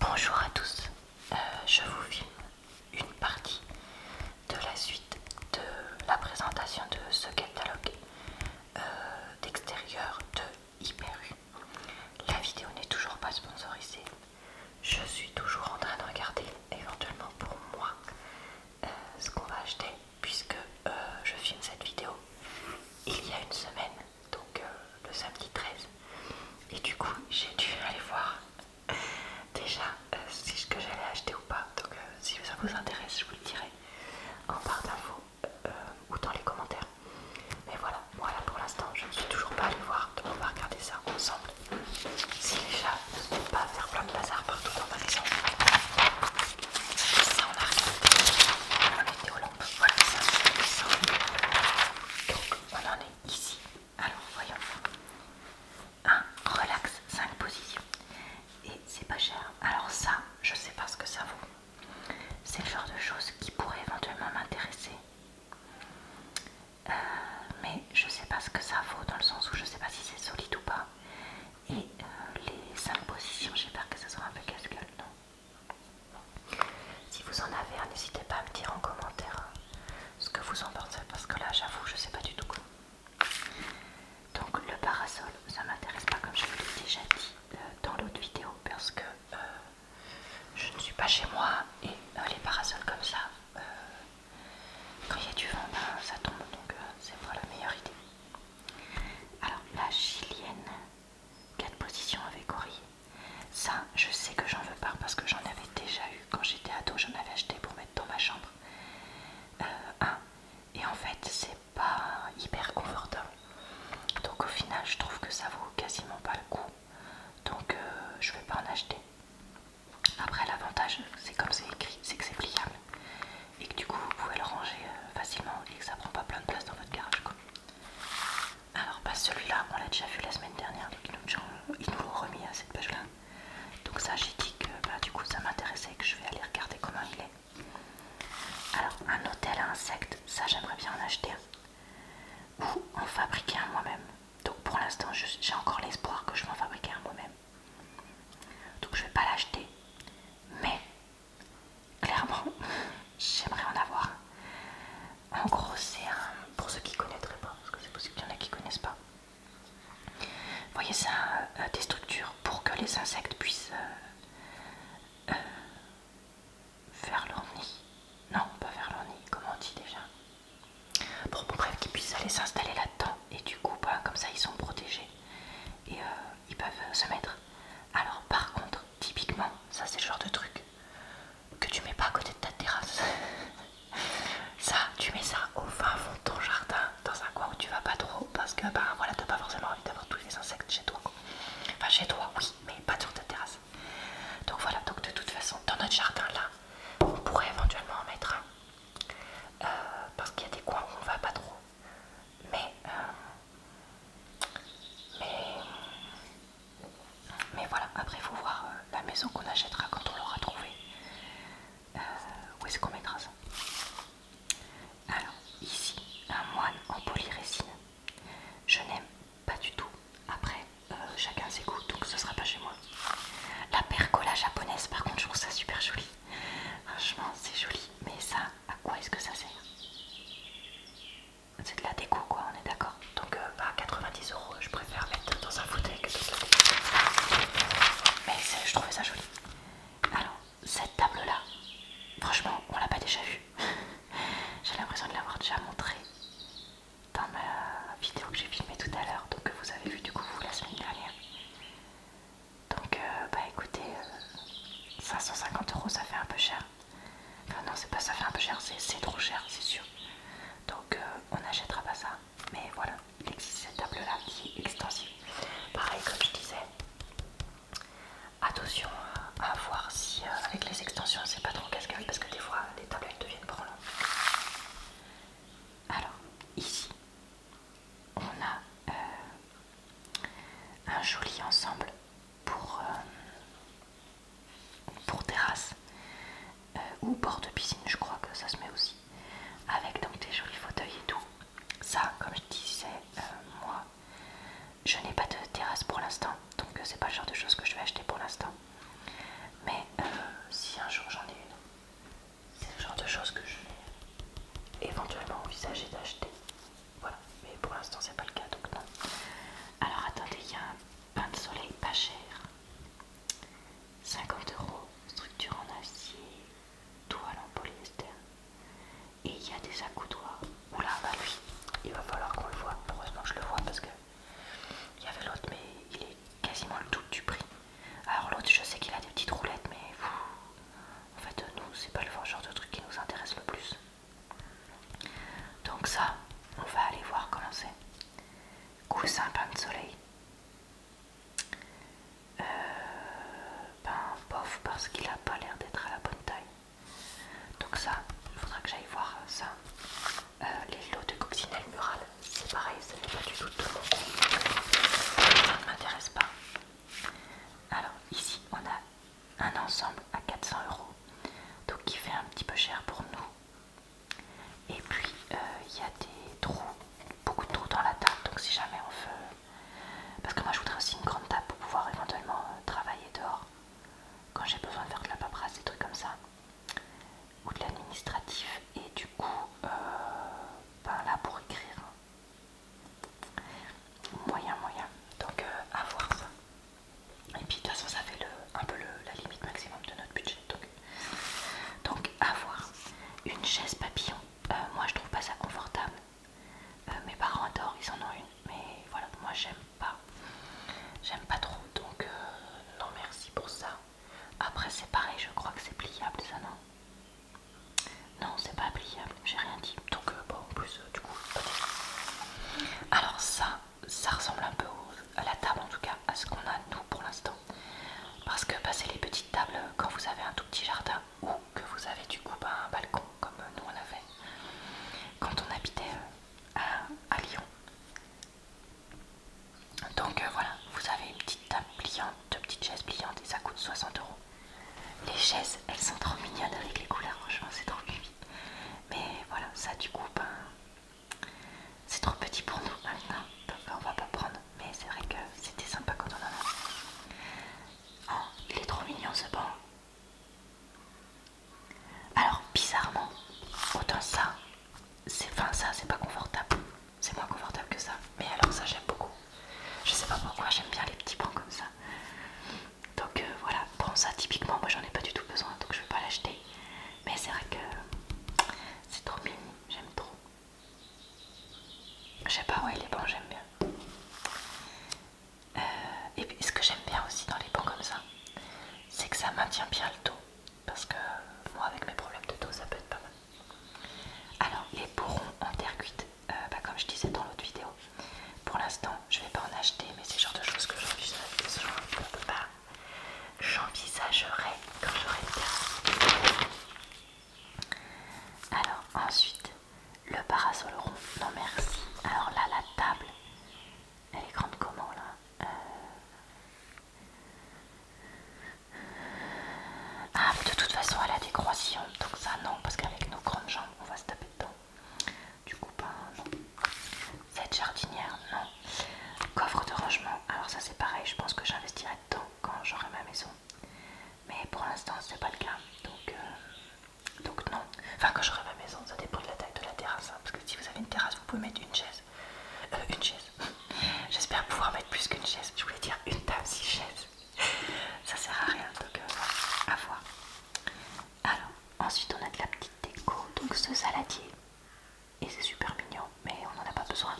Bonjour à tous, euh, je vous filme une partie de la suite de la présentation de ce catalogue euh, d'extérieur de Hyperu. La vidéo n'est toujours pas sponsorisée, je suis toujours en train de regarder éventuellement pour moi euh, ce qu'on va acheter puisque je filme cette vidéo il y a une semaine donc euh, le samedi 13. Et du coup, j'ai dû aller voir déjà euh, si ce que j'allais acheter ou pas. Donc euh, si ça vous intéresse, je vous le dirai en barre d'infos ou dans les commentaires. Mais voilà, voilà pour l'instant, je ne suis toujours pas allée voir, donc on va regarder ça ensemble. Si les chats ne pas faire plein de bazar partout dans ma maison. Ça on arrive voilà, Donc, on en est ici. Alors, voyons. 1. Relax, 5 positions. Et c'est pas cher. Alors, ça, je sais pas ce que ça vaut. C'est le genre de choses qui pourrait éventuellement m'intéresser. Euh, mais je sais pas ce que ça vaut dans le sens où je sais pas si c'est solide ou pas. Et euh, les 5 positions, j'espère que ça sera un peu casse-gueule, non si vous en avez un, hein, n'hésitez pas à me dire en commentaire ce que vous en pensez parce que là j'avoue je sais pas du tout quoi. Donc le parasol ça m'intéresse pas comme je vous l'ai déjà dit euh, dans l'autre vidéo parce que euh, je ne suis pas chez moi et euh, les parasols comme ça quand il y a du vent ben, ça tombe donc c'est pas la meilleure idée. Alors la chilienne 4 positions avec oreiller. Ça, je sais que j'en veux pas parce que j'en avais déjà eu quand j'étais ado, j'en avais acheté pour mettre dans ma chambre. Euh, et en fait, c'est pas hyper confortable. Donc au final, je trouve que ça vaut quasiment pas le coup. Donc je euh, je vais pas en acheter. Après, l'avantage, c'est comme c'est écrit, c'est que c'est pliable. Et que du coup, vous pouvez le ranger euh, facilement et que ça prend pas plein de place dans votre garage. Alors, pas bah, celui-là, on l'a déjà vu la semaine dernière, donc ils nous, l'ont remis à cette page-là. Donc, ça, j'ai dit que bah, du coup, ça m'intéressait et que je vais aller regarder comment il est. Alors, un hôtel à insectes, ça, j'aimerais bien en acheter un. Ou en fabriquer un moi-même. Donc, pour l'instant, j'ai encore l'espoir que je vais m'en fabriquer un moi-même. Donc, je vais pas l'acheter, mais Clairement, j'aimerais en avoir. En gros, c'est Pour ceux qui connaîtraient pas, parce que c'est possible qu'il y en a qui ne connaissent pas. voyez, ça, euh, des structures pour que les insectes puissent euh, euh, faire leur nid. Non, pas faire leur nid, comment on dit déjà Pour qu'ils puissent aller s'installer là-dedans. Et du coup, bah, comme ça, ils sont protégés. Et ils peuvent euh, se mettre. Alors par contre, typiquement, ça c'est le genre de truc que tu mets pas à côté de ta terrasse. ça, tu mets ça au fin fond de ton jardin, dans un coin où tu vas pas trop, parce que bah voilà, t'as pas forcément envie d'avoir tous les insectes chez toi. Enfin chez toi, oui, mais pas sur ta terrasse. Donc voilà, donc de toute façon, dans notre jardin là, on pourrait éventuellement en mettre un. Euh, parce qu'il y a des coins où on va pas trop. Euh, mais, mais, voilà, après il faut voir euh, la maison qu'on achètera quand on l'aura trouvée. Euh, où est-ce qu'on mettra ça Alors, ici, un moine en polyrésine. Je n'aime pas du tout. Après, chacun ses goûts, donc ce sera pas chez moi. La pergola japonaise, par contre, je trouve ça super joli. Franchement, c'est joli, mais ça, à quoi est-ce que ça sert C'est de la déco quoi, on est d'accord Donc à euh, 90 bah, euros, je préfère mettre dans un fauteuil Mais je trouvais ça joli. Alors, cette table là, franchement, on l'a pas déjà vue. j'ai l'impression de l'avoir déjà montrée dans ma vidéo que j'ai filmée tout à l'heure, donc que vous avez vu du coup vous la semaine dernière. Donc, euh, bah écoutez, 550 euh, euros ça fait un peu cher. Enfin, non, c'est pas ça fait un peu cher, c'est trop cher, c'est sûr. Donc, euh, on n'achètera pas ça. Mais voilà, il existe cette table là qui est extensive. Pareil, comme je disais, attention à voir si avec les extensions c'est pas trop casse parce que des fois les tablettes deviennent longues, Alors, ici, on a euh, un joli ensemble pour, euh, pour terrasse euh, ou bord de piscine, je crois que ça se met aussi, avec donc des jolis fauteuils et tout. Ça, comme je disais, moi, je n'ai pas de terrasse pour l'instant, donc c'est pas le genre de chose que je vais acheter pour l'instant. Mais si un jour j'en ai une, c'est le genre de choses que je vais éventuellement envisager d'acheter. Voilà, mais pour l'instant c'est pas le cas donc non. Alors attendez, il y a un pain de soleil pas cher. 50 euros, structure en acier, toile en polyester. Et il y a des accoudoirs. Oula, bah lui, il va falloir qu'on le voit. Heureusement je le vois parce que il y avait l'autre, mais il est quasiment le double du prix. Alors l'autre, je sais qu'il a des petites roulettes, mais en fait, nous, c'est pas le genre de truc qui nous intéresse le plus. Donc ça, on va aller voir comment c'est. Coussin pain de soleil. Euh, ben, bof, parce qu'il a pas l'air d'être à la bonne taille. Donc ça, il faudra que j'aille voir ça. Euh, les lots de coccinelles murales, c'est pareil, ça n'est pas du tout de Ça ne m'intéresse pas. Alors ici on a un ensemble à 400 euros, donc qui fait un petit peu cher pour nous. Et puis euh, il y a des trous, beaucoup de trous dans la table, donc si jamais on veut... Parce que moi je voudrais aussi une grande table pour pouvoir éventuellement euh, travailler dehors quand j'ai besoin de faire de la paperasse, des trucs comme ça, ou de l'administratif. Et du coup, euh, pas là pour écrire. Moyen, moyen. Donc avoir euh, à voir ça. Et puis de toute façon ça fait le, un peu le, la limite maximum de notre budget. Donc, donc à voir. Une chaise papillon. Euh, moi je trouve pas ça confortable. Euh, mes parents adorent, ils en ont une. Mais voilà, moi j'aime pas. J'aime pas trop. Donc non merci pour ça. Après c'est pareil, je crois que c'est pliable ça, non Non, c'est pas pliable, j'ai rien dit. Donc euh, bon, en plus euh, du coup, alors ça, ça ressemble un peu à la table en tout cas, à ce qu'on a nous pour l'instant. Parce que bah, c'est les petites tables euh, quand vous avez un tout petit jardin ou que vous avez du coup bah, un balcon comme nous on avait quand on habitait à Lyon. Donc euh, voilà, vous avez une petite table pliante, deux petites chaises pliantes et ça coûte 60 euros. Les chaises, elles sont trop mignonnes avec les couleurs, franchement c'est trop cubi. Mais voilà, ça du coup, ben, c'est trop petit pour nous maintenant, donc on va pas prendre. Mais c'est vrai que c'était sympa quand on en a. Oh, il est trop mignon ce banc. Alors bizarrement, autant ça, c'est fin ça, c'est pas confortable c'est moins confortable que ça. Mais alors ça j'aime beaucoup. Je sais pas pourquoi j'aime bien les petits bancs comme ça. Donc euh, voilà, bon ça typiquement moi j'en ai pas du tout besoin donc je vais pas l'acheter. Mais c'est vrai que c'est trop mignon, j'aime trop. Je sais pas, ouais les bancs j'aime bien. Euh, et ce que j'aime bien aussi dans les bancs comme ça, c'est que ça maintient bien le dos parce que moi avec mes problèmes de dos ça peut être pas mal. Alors les bourrons en terre cuite, euh, bah, comme je disais dans l'autre vidéo, pour l'instant je vais pas en acheter mais c'est le genre de choses que j'envisagerai quand j'aurai le Alors ensuite le parasol rond, non merci. Alors là la table, elle est grande comment là euh, ah, mais de toute façon, elle a des croissants, donc ça non, parce qu'avec nos grandes jambes, on va se taper dedans. Du coup, pas, non. Cette jardinière, non. Coffre de rangement, alors ça c'est pareil, je pense que j'investirai dedans quand j'aurai ma maison. Mais pour l'instant, c'est pas le cas, donc, euh, non. Enfin, quand j'aurai ma maison, ça dépend de la taille de la terrasse, hein, parce que si vous avez une terrasse, vous pouvez mettre une chaise. Euh, une chaise. J'espère pouvoir mettre plus qu'une chaise. Je voulais dire une table, six chaise. Ça sert à rien, donc euh, à voir. Alors, ensuite on a de la petite déco, donc ce saladier. Et c'est super mignon, mais on n'en a pas besoin.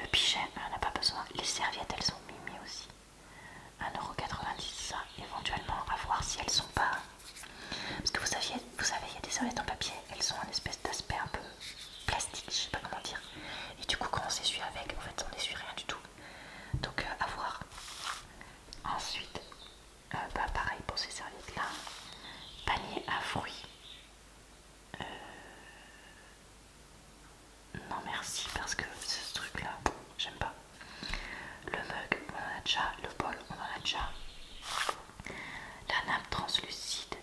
Le pichet, on n'en a pas besoin. Les serviettes, elles sont mimi aussi. 1,90€ ça, éventuellement, à voir si elles sont pas parce que vous, vous savez, il y a des serviettes en papier, elles ont un espèce d'aspect un peu plastique, je sais pas comment dire. Et du coup, quand on s'essuie avec, en fait, on n'essuie rien du tout. Donc, euh, à voir. Ensuite, euh, bah, pareil pour ces serviettes-là. Panier à fruits. Euh, non merci parce que ce truc là, j'aime pas. Le mug, on en a déjà. Le bol, on en a déjà la nappe translucide.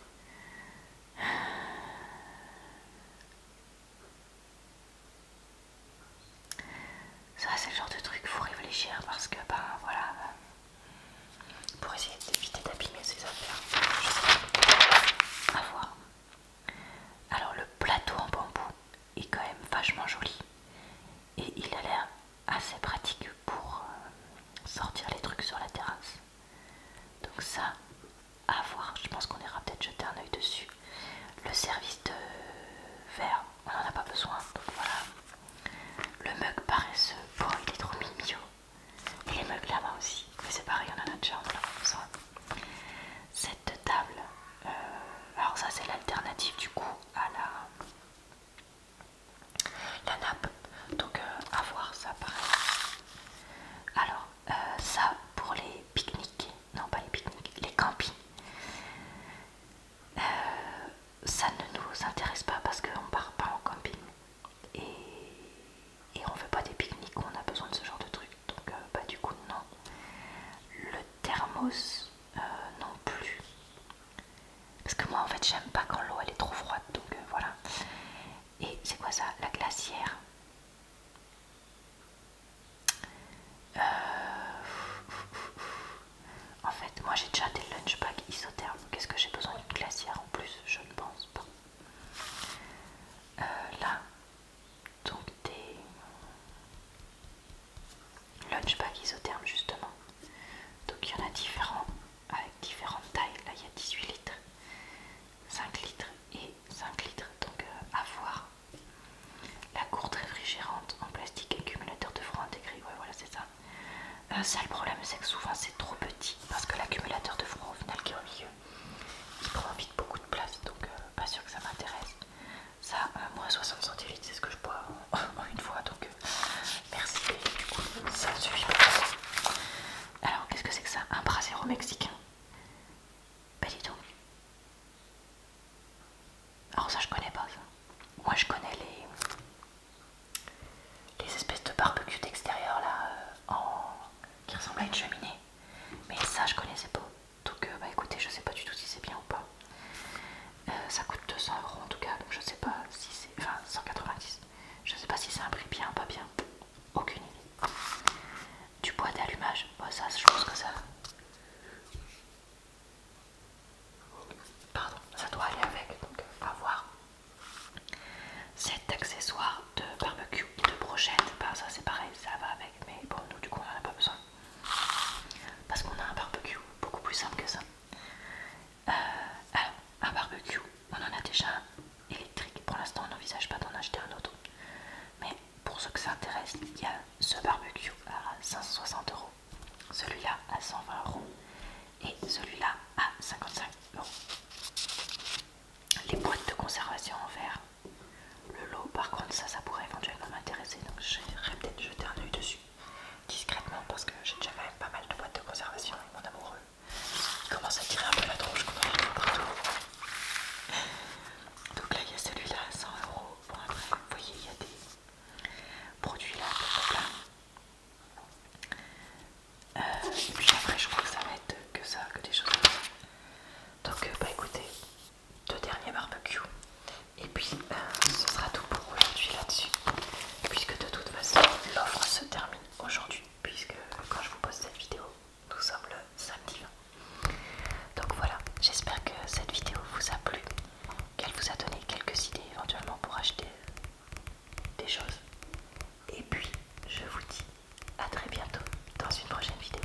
Ça, c'est le genre de truc, faut réfléchir parce que, ben voilà, euh, pour essayer d'éviter d'abîmer ces affaires, à voir. Alors, le plateau en bambou est quand même vachement joli et il a l'air assez pratique pour euh, sortir les trucs sur la terrasse. Donc ça, à voir, je pense qu'on ira peut-être jeter un oeil dessus. Le service de verre, on n'en a pas besoin, voilà. Le mug paresseux, bon il est trop mignon. Et les mugs là-bas aussi, mais c'est pareil, on en a déjà, on en a Cette table, euh, alors ça c'est l'alternative du coup à la la nappe. Donc euh, à voir ça pareil. Alors euh, ça pour les pique-niques, non pas les pique-niques, les campings. Euh, ça ne nous intéresse pas parce qu'on part pas en camping et, on fait pas des pique-niques, on a besoin de ce genre de truc. Donc bah du coup non. Le thermos non plus. Parce que moi en fait j'aime pas quand l'eau elle est trop froide donc euh, voilà. Et c'est quoi ça La glacière. Euh, en fait moi j'ai déjà des lunchbags isothermes. Qu'est-ce que j'ai besoin d'une glacière en plus Je ne pense pas. Euh, là, donc des... Lunchbag isotherme justement. Donc il y en a différents avec différentes tailles. Là il y a 18 litres, 5 litres et 5 litres. Donc euh, à voir. La courte réfrigérante en plastique accumulateur de froid intégré. Ouais voilà c'est ça. Euh, ça le problème c'est que souvent c'est trop petit parce que l'accumulateur de froid au final qui est au milieu il prend vite beaucoup de place donc euh, pas sûr que ça m'intéresse. Ça, moins euh, moi 60 centilitres, c'est ce que je bois en, euh, une fois, donc euh, merci. du coup, ça suffit Alors, qu'est-ce que c'est que ça Un brasero mexicain Pas du tout. Alors ça, je connais pas Moi, je connais les, espèces de barbecue d'extérieur là, qui ressemblent à une cheminée. Mais ça, je connaissais pas. Donc, bah écoutez, je sais pas du tout si c'est bien ou pas. Euh, ça coûte 200 euros en tout cas, donc je sais pas si c'est. Enfin, 190. Je sais pas si c'est un prix bien ou pas bien. Aucune idée. Du bois d'allumage, ça, je pense que ça. Pardon, ça doit aller avec, donc va voir. Cet accessoire de barbecue et de brochette, ben, ça c'est pareil, ça va avec, mais bon, nous du coup on en a pas besoin. Parce qu'on a un barbecue beaucoup plus simple que ça. Euh, un barbecue, on en a déjà un électrique. Pour l'instant, on n'envisage pas d'en acheter un autre. Mais pour ceux que ça intéresse, il y a ce barbecue à 560 euros, celui-là à 120 euros et celui-là à 55 euros. Les boîtes de conservation en verre le lot, par contre, ça, ça pourrait éventuellement m'intéresser, donc j'aimerais peut-être jeter un œil dessus discrètement parce que j'ai déjà quand même pas mal de boîtes de conservation et mon amoureux commence à tirer un peu la tronche Donc là, il y a celui-là, 100 euros. après, vous voyez, il y a des produits là, euh, et puis après, je crois que ça va être que ça, que des choses Donc, euh, bah écoutez, deux derniers barbecues. Et puis euh, ce sera tout pour aujourd'hui là-dessus. Puisque de toute façon l'offre se termine aujourd'hui. Puisque quand je vous pose cette vidéo, nous sommes le samedi Donc voilà, j'espère que cette vidéo vous a plu, qu'elle vous a donné quelques idées éventuellement pour acheter euh, des choses. Et puis je vous dis à très bientôt dans une prochaine vidéo.